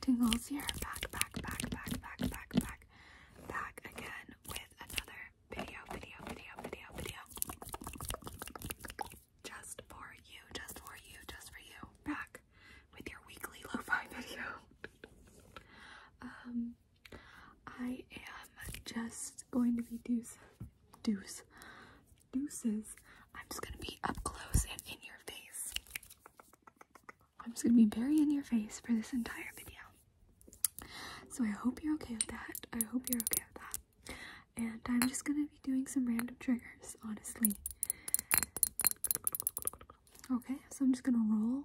Tingles here. Back, back, back, back, back, back, back, back again with another video, video, video, video, video. Just for you, just for you, just for you. Back with your weekly lo-fi video. um I am just going to be deuce, deuce, deuces. I'm just gonna be up close and in your face. I'm just gonna be very in your face for this entire video. So I hope you're okay with that. I hope you're okay with that. And I'm just gonna be doing some random triggers, honestly. Okay, so I'm just gonna roll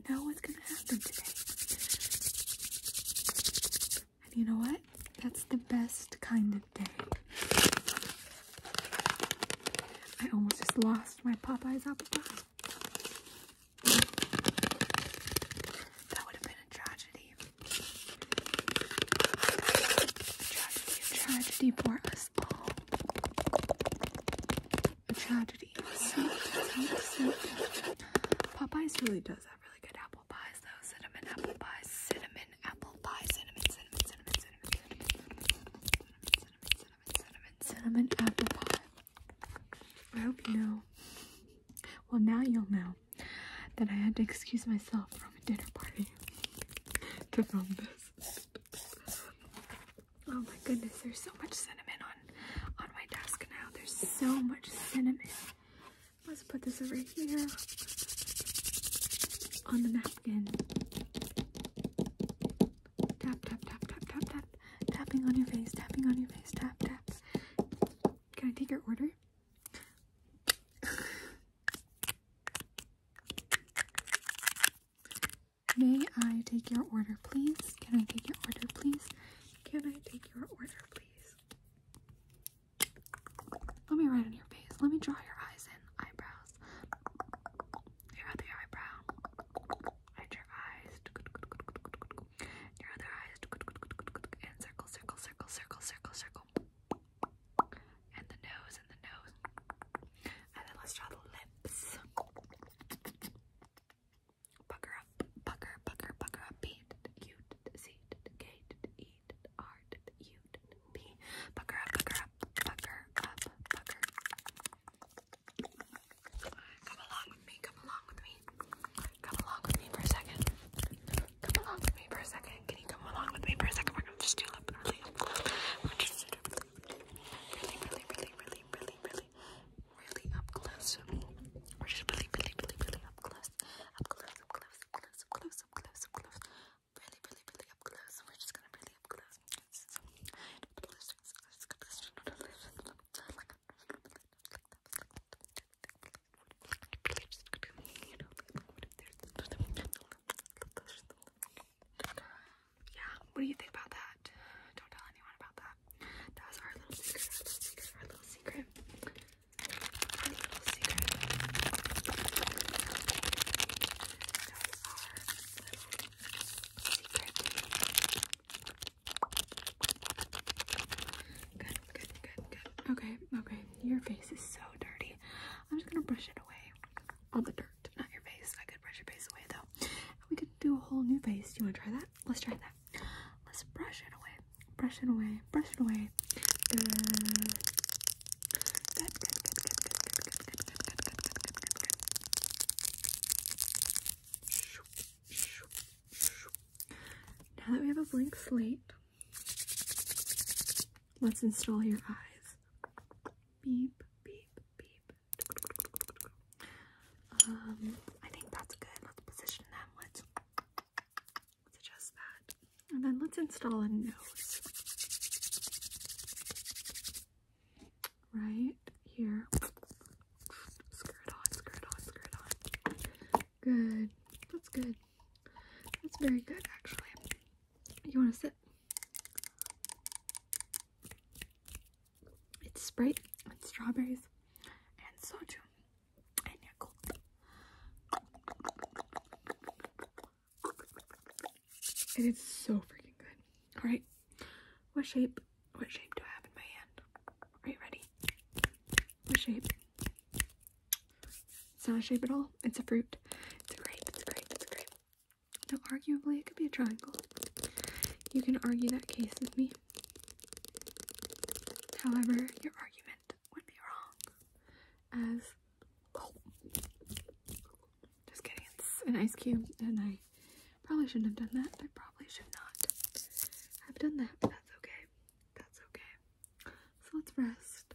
not know what's going to happen today. And you know what? That's the best kind of day. I almost just lost my Popeye's apple pie. That would have been a tragedy. A tragedy, tragedy for us all. A tragedy. Popeyes really does have really good apple pies though. Cinnamon apple pie. cinnamon apple pie, cinnamon, cinnamon, cinnamon, cinnamon, cinnamon, cinnamon, cinnamon, cinnamon, cinnamon, cinnamon, cinnamon, cinnamon, cinnamon apple pie. I hope you know. Well, now you'll know that I had to excuse myself from a dinner party to film this. Oh my goodness, there's so much cinnamon on on my desk now. There's so much cinnamon. Let's put this over here on the napkin. Tap tap tap tap tap tap. Tapping on your face, tapping on your face, tap tap. Can I take your order? May I take your order, please? Can I take your order, please? Can I take your order, please? Let me write on your face. Let me draw your eyes in. Eyebrows. Your other eyebrow. And your eyes. Your other eyes. And circle, circle, circle, circle, circle, circle and the nose and the nose. And then let's draw the lips. Pucker up, pucker, pucker, pucker up. P, Q, C, K, E, R, U, P. Pucker up, pucker up, pucker up, pucker. Come along with me, come along with me. Come along with me for a second. Come along with me for a second. Can you come along with me for a second? are just do lip, lip, really, really, really, really, really, really, really up close. We're just really, really, really, really up close. Up close, up close, up close, up close, up close, up close. Really, really, really up close. We're just gonna really up close yeah, what do you think about that? Don't tell anyone about that. That was our little secret, our little secret, our little secret. Good, good, good, good. Okay, okay. Your face is so dirty. I'm just gonna brush it away. All the not your face. I could brush your face away though. we could do a whole new face. Do You want to try that? Let's try that. Let's brush it away. Brush it away. Brush it away. Now that we have a blank slate, Let's install your eyes. Beep, beep, beep. Um, I think that's good. Let's position them. Let's adjust that. And then let's install a nose. Right here. Screw it on, screw it on, screw it on. Good. That's good. That's very good, actually. You want to sip? It's Sprite, with strawberries, and soju, and Yakult. It is so freaking good. Alright, what shape, what shape do I have in my hand? Are you ready? What shape? It's not a shape at all. It's a fruit. It's a grape. It's a grape. It's a grape. Now, arguably, it could be a triangle. You can argue that case with me. However, your argument would be wrong. As. Oh. Just kidding. It's an ice cube, and I probably shouldn't have done that. I probably should not have done that, that's okay. That's okay. So let's rest.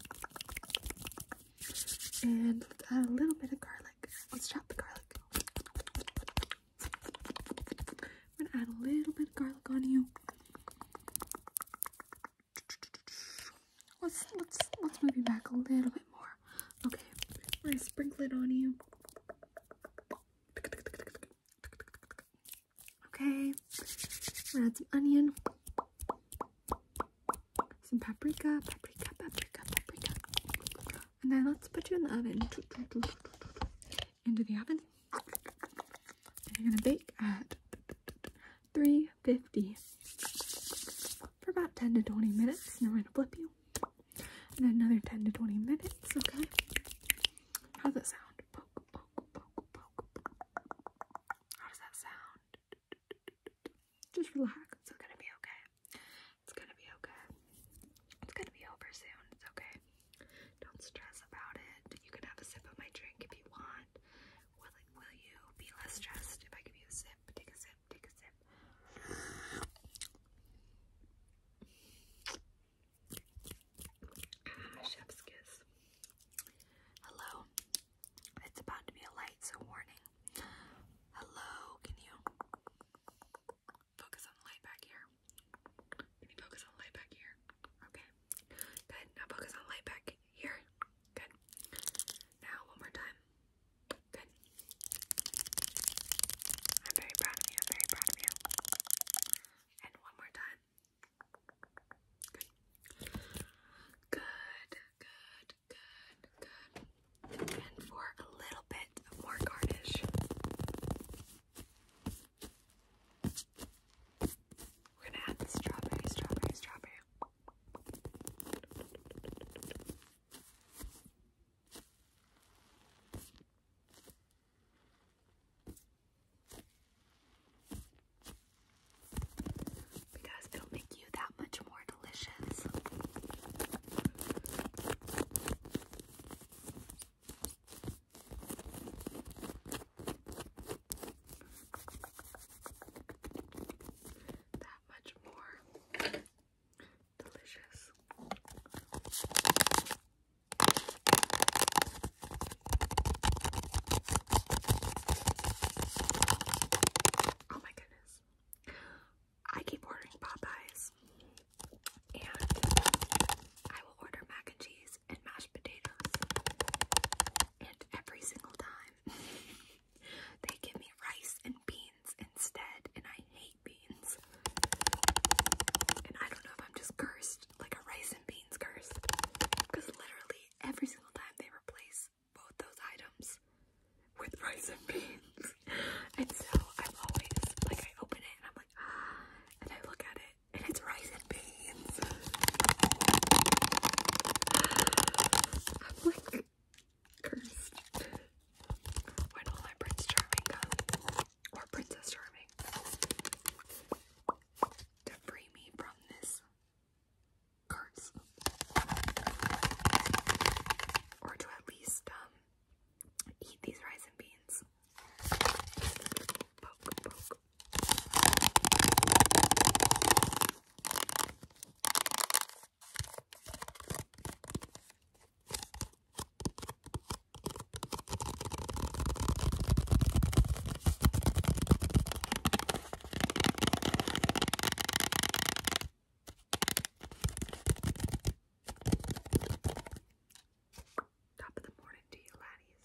And add a little bit of garlic. Let's chop the garlic. I'm gonna add a little bit of garlic on you. Let's let's let's move you back a little bit more. Okay, I are gonna sprinkle it on you. Okay, add some onion, some paprika, paprika, paprika, paprika, and then let's put you in the oven. Into the oven, and you're gonna bake at 350 for about 10 to 20 minutes. And we're gonna flip you, and another 10 to 20 minutes. Okay, how's that sound? How does that sound? Just relax. It's gonna be okay. It's gonna be okay. It's gonna be over soon. It's okay. Don't stress about it. You can have a sip of my drink if you want. Will, will you be less stressed if I give you a sip? Take a sip. Take a sip chef's kiss. Hello. It's about to be a light, so warning. Hello, can you focus on the light back here? Can you focus on the light back here? Okay. Good. Now focus on the light back here. Good. Now one more time. Good. I'm very proud of you. I'm very proud of you. And one more time. Good. Good, good, good, And for a little bit more garnish. We're gonna add the strawberry, strawberry, strawberry. Because it'll make you that much more delicious. That much more delicious. Oh my goodness. I keep ordering Popeyes. And I will order mac and cheese and mashed potatoes. And every single time they give me rice and beans instead. And I hate beans. And I don't know if I'm just cursed like a rice and beans curse because literally every single time they replace both those items with rice and beans. and so I'm always like, I open it and I'm like, ah, and I look at it and it's rice and beans. I'm like, cursed. When all my Prince Charming come, or Princess Charming to free me from this curse. Or to at least um, eat these rice and beans. Top of the morning to you, laddies.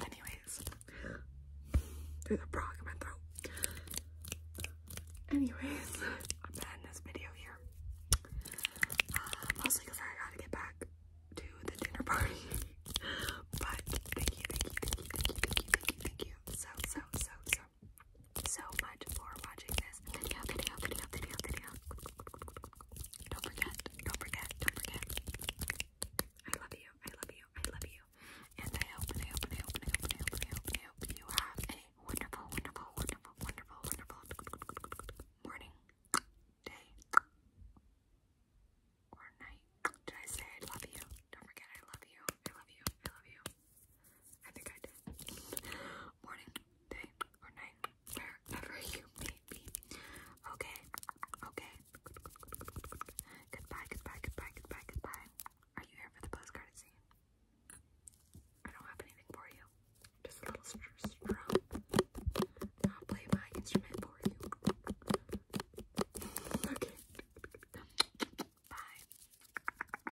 Anyways, there's a frog in my throat. Anyways, I'm gonna this video here. Uh, mostly because I gotta get back to the dinner party. but thank you, thank you, thank you, thank you, thank you, thank you, so, so, so so much for watching this video, video, video, video, video. Don't forget, don't forget, don't forget. I love you, I love you, I love you. And I hope, I hope, I hope, I hope, I hope, I hope, I hope you have a wonderful, wonderful, wonderful, wonderful, wonderful morning, day, or night. Did I say I love you? Don't forget I love you, I love you, I love you. I think I did. Morning, day, or night, wherever you may be. Okay, okay. Goodbye, goodbye, goodbye, goodbye, goodbye. Are you here for the postcard scene? I don't have anything for you. Just a little strum. I'll play my instrument for you. Okay. Bye.